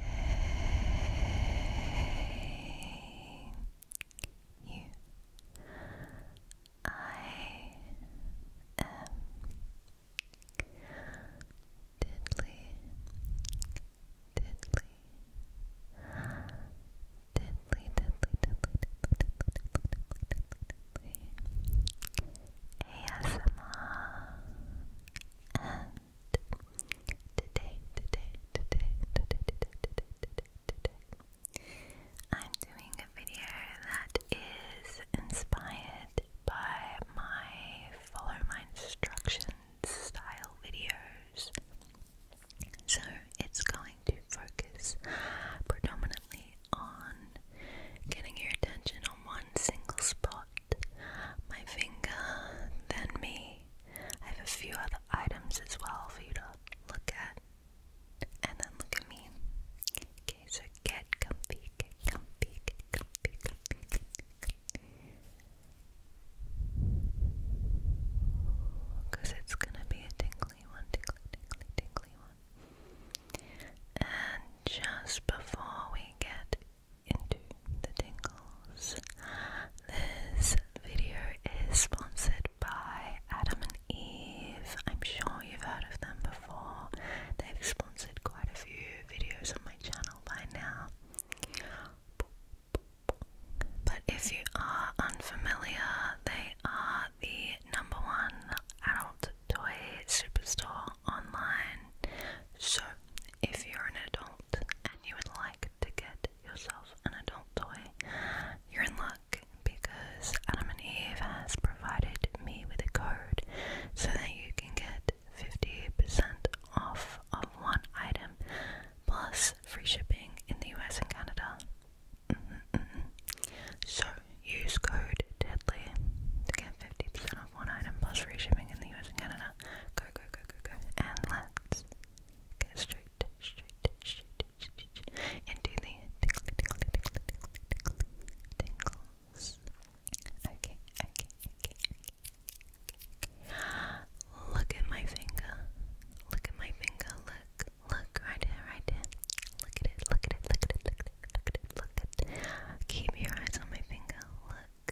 Hey, you. I am diddly, diddly, diddly, diddly, diddly, diddly, diddly, diddly, diddly, ASMR Today, today, today, today, today, today, today, today. I'm doing a video that is inspired by my follow my instructions style videos. So it's going to focus predominantly on getting your attention on one single spot. My finger, then me. I have a few other items as well for you to look at. And then look at me. Okay, so get comfy, get comfy, get comfy, comfy, comfy, comfy. Because it's gonna be a tingly one, tingly, tingly, tingly one. And just before we get into the tingles. This video is sponsored by Adam and Eve. I'm sure you've heard of them before. They've sponsored quite a few videos on my channel by now. But if you are unfamiliar, they are the number one adult toy superstore online. So if you're an adult and you would like to get yourself an adult toy, you're in luck because Adam and Eve has provided me with a code so that you can get 50% off of one item plus free shipping in the US and Canada. Mm-hmm, mm-hmm. So use code DEADLY to get 50% one item plus free shipping in the US and Canada. Go, go, go, go, go. And let's get straight, straight, straight, straight into the tickle, tickle, tickle, tickle, tingles. Okay, okay, okay, okay. Look at my finger. Look at my finger. Look, look, right here, right here. look at it, look at it, look at it, look at it, look at it. Keep your eyes on my finger. Look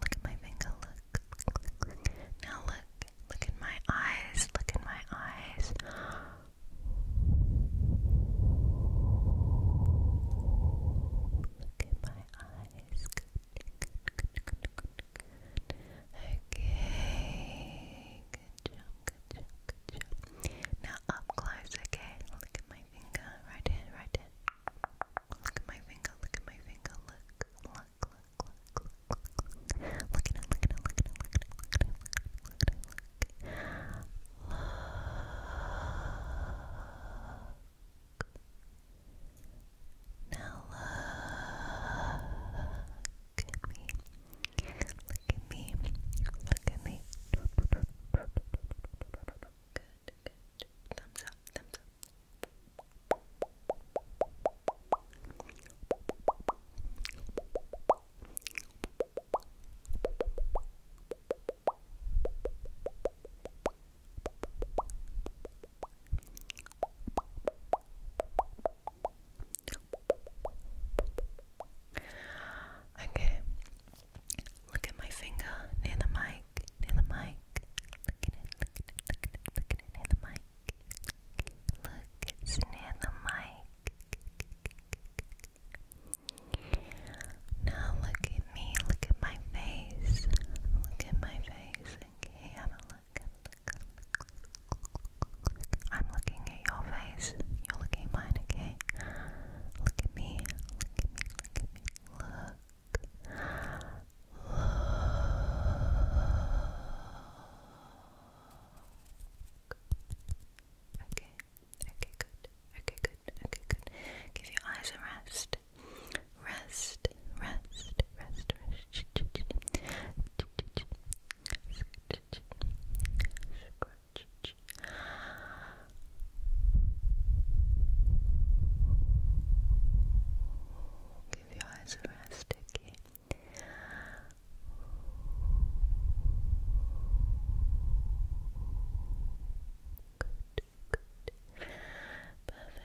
Look at my finger, look. Now look, look in my eyes, look in my eyes. Look at my eyes. Okay, good job, good job, good job. Now up close, okay? Look at my finger, right here, right here. Look at my finger, look at my finger, look, look, look, look, look, look. Look at it, look at it, look at it, look at it, look at look look at look. look at me. Look at me. Look at me. Good, good, thumbs up, thumbs up. Okay, Look at my finger near the mic, near the mic. Look at it, look at it, look at it, near the mic. Look, it's near the mic. Now look at me, look at my face. Look at my face. Okay, have a look, I'm looking at your face. You're looking at mine, okay? Look at me. Look at me, look at me, look, Okay, okay, good, okay, good, okay, good. Give your eyes a rest. Rest, rest, rest, rest much. Give your eyes a rest, okay? Good, Perfect.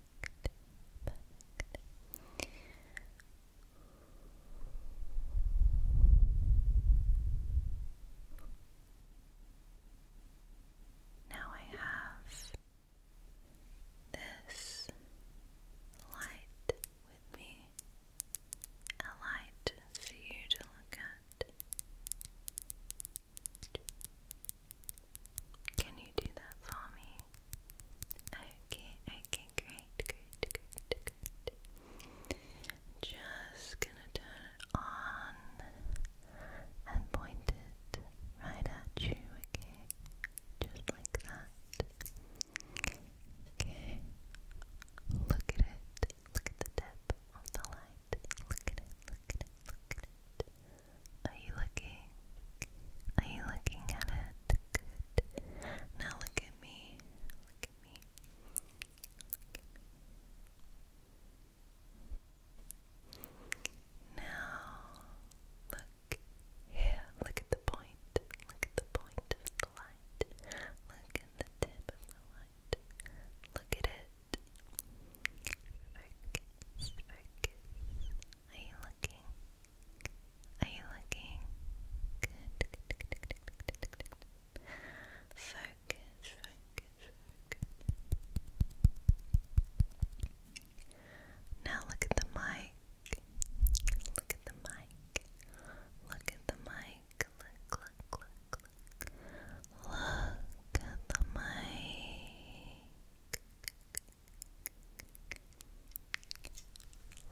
perfect, Now I have this light with me, a light for you to look at. Can you do that for me? Okay, okay, great, great, great, great. Just gonna turn it on and point it right at you, okay? Just like that. Okay. Look at it. Look at the tip of the light. Look at it, look at it, look at it. Are you looking? Are you looking at it? Good. Now look at me. Look at me. Now look here. Look at the point. Look at the point of the light. Look at the tip of the light. Look at it focus, Are you looking? Are you looking? Good, good, good, good, good, good, Now look at the mic. Look at the mic. Look at the mic. Look, look, look, look. Look at the mic.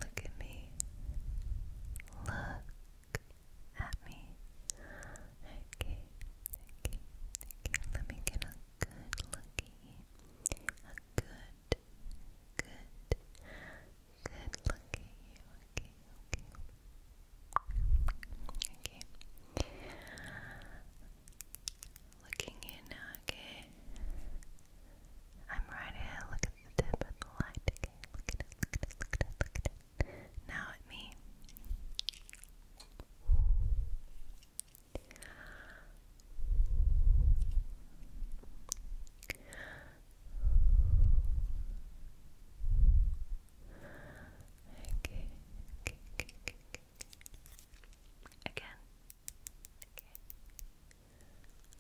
Look at me. Look at me. Okay, okay, okay. Let me get a good look you. A good, good, good look Okay, okay. Okay. Looking in now, okay? I'm right here. Look at the tip of the light, Look at it, look at it, look at it, look at it. Now at me. okay, okay, okay, okay, Again. Okay.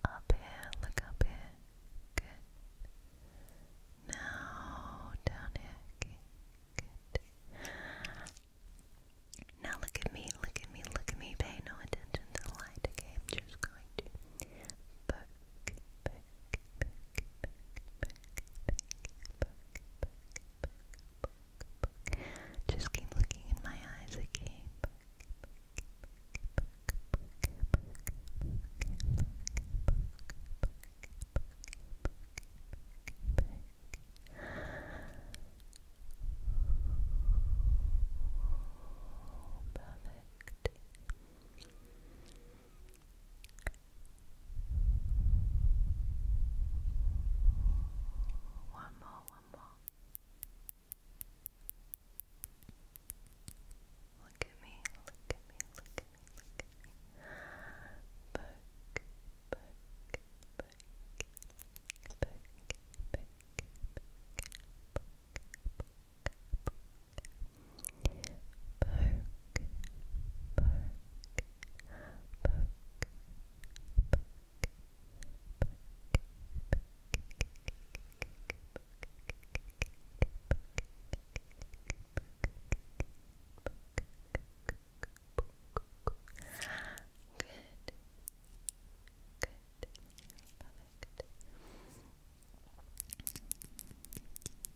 Up here, look up here. Good. Now down here. Good. Now look at me, look at me, look at me. Pay no attention to the light, okay? just going to just keep looking in my eyes, again. Perfect. One more, one more. Look at me, look at me, look at me, look at me. Poke, poke, poke, poke, poke, poke, poke, poke, poke poke, poke, poke, poke, Good. Good. Perfect.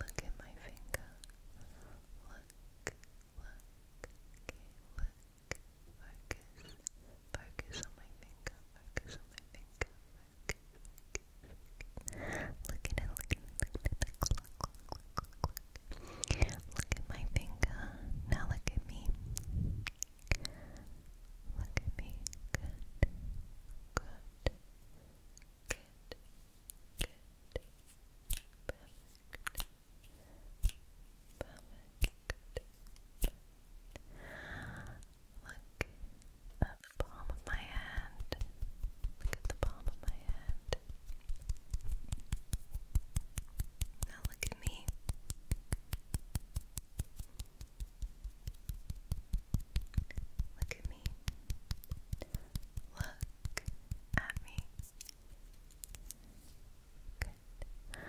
Look at my finger. Look, look, look. Focus, focus on my finger, focus on my finger, look, look, look. Look at my finger, now look at me. Look at me. Good. Good. Good. Good. Perfect. Perfect. Look at the palm of my hand. Look at the palm of my hand. Now look at me. Look at me. Look at me. Good. Okay. Okay.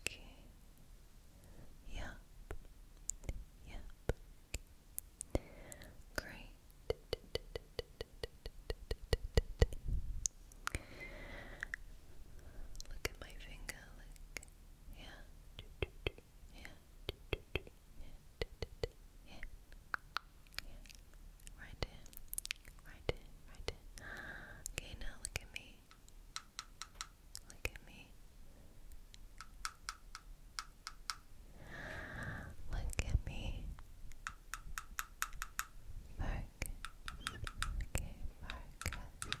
Okay. Yep. Yep. Great. Look at my finger. Yeah. Yeah. Yeah. Right in. Right in. Right in. Okay, now look at me. Look at me. Look at me. Focus. Okay, focus. Focus. Okay.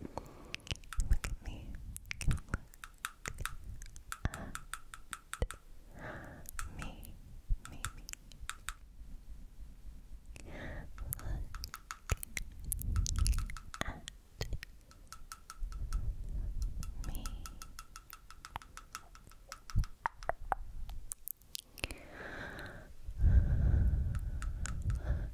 Look at me. Look at me. Me, me. Look at me. Look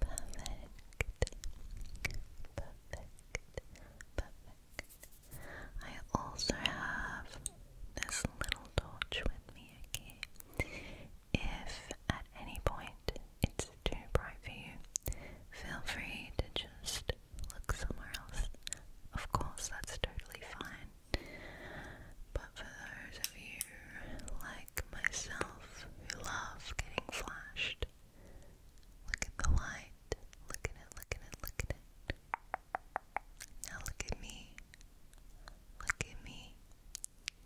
perfect, perfect, perfect. I also have this little torch with me, okay? If at any point it's too bright for you, feel free to just look somewhere else. Of course, that's totally fine. But for those of you like myself you love getting flashed. Look at the light. Look at it, look at it, look at it. Now look at me. Look at me.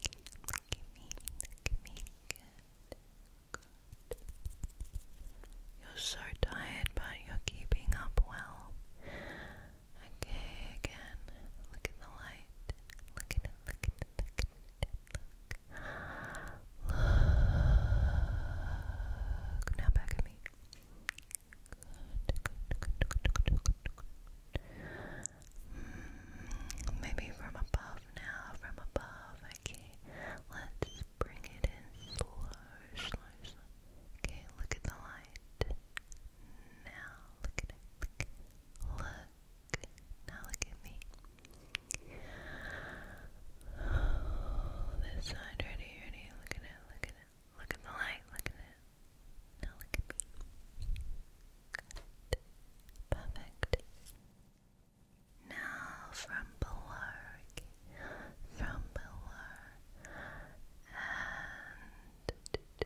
Look at me. Look at me. Good. You're so tired, but you're keeping up well. Okay, again. Look at the light. Look at it, look at it, look, now back at me. maybe from above now, from above. Okay, let's bring it in slow, slow, slow. Okay, look at the light. Now look at it. Look, now look at me. Oh, this side, ready, ready. Look at it, look at it. Look at the light, look at it. Now look at me. Perfect. Now from below, from below, and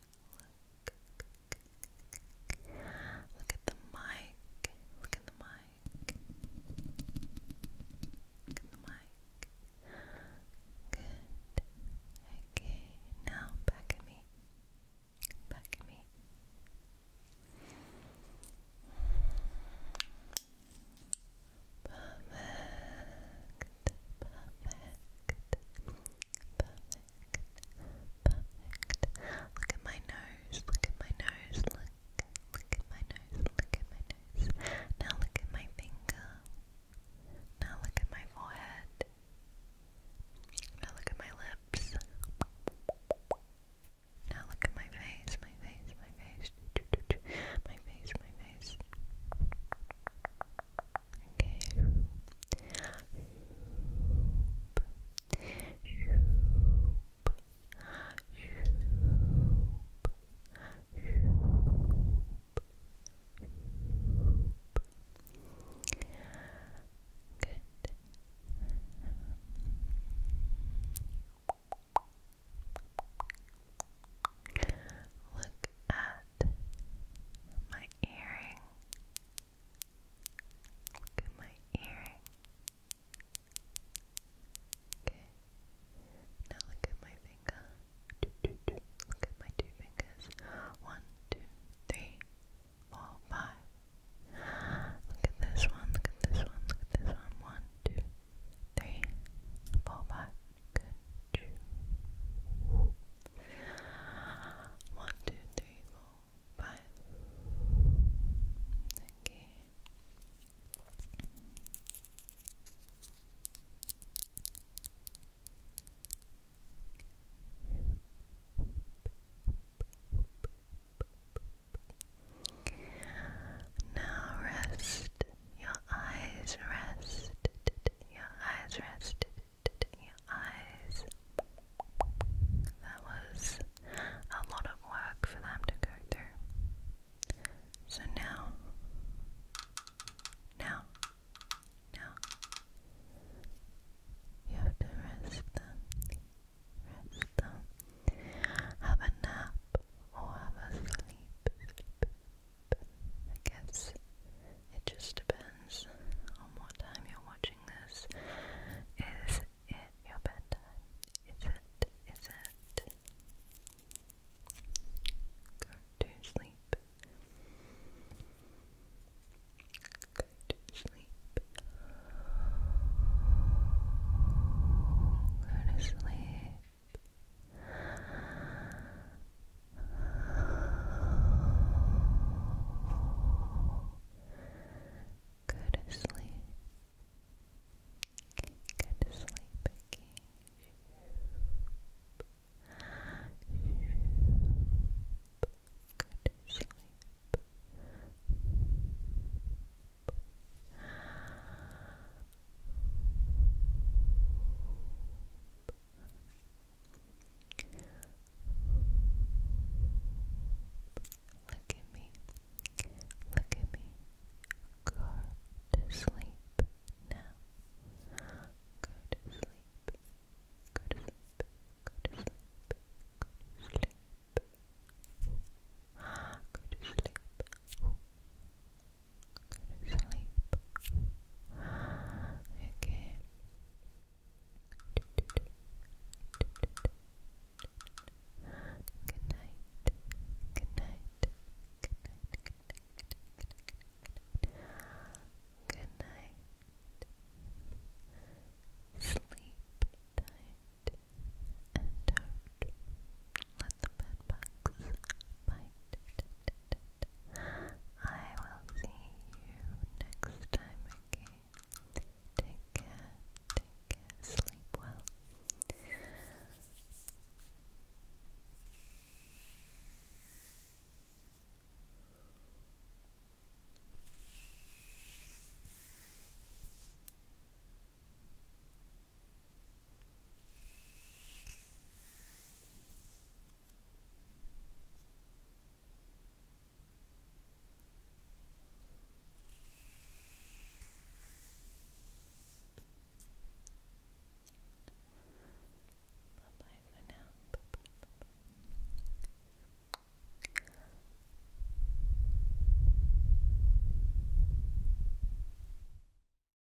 Look. Look at the mic. Look at the mic. Look at the mic. Good. Okay, now back at me. Back at me. Perfect. Perfect. Perfect perfect. Look at my nose, look at my nose, look, look at my nose, look at my nose. Now look at my finger. Now look at my forehead. Now look at my lips. Now look at my face, my face, my face, my face, my face. Okay. Good. Look at my earring. Look at my earring. Okay. Now look at my finger. Look at my two fingers. One, two, three, four, five. Look at this one, look at this one, look at this one. One, two, three, four, five. Good. One, two, three, four, five. Okay. Now rest your eyes, rest your eyes, rest it eyes. That was a lot of work for them to go through. So now, now, now, you have to rest them. Rest them. Have a nap or have a sleep. I guess it just depends on what time you're watching this. Is it your bedtime? Is it? Is it? Go to sleep. Go to sleep. Go to sleep. Good sleep. Good sleep, Good sleep. Look at me. Look at me. Go to sleep now. Go to sleep. Go to sleep. Go to sleep. Go to sleep. Go to sleep sleep. Okay. Good night. Good night. Good night. Sleep tight and out. Let the bed bugs bite. I will see you next time again. Take care, sleep well. Bye bye for now. Bye -bye, bye -bye.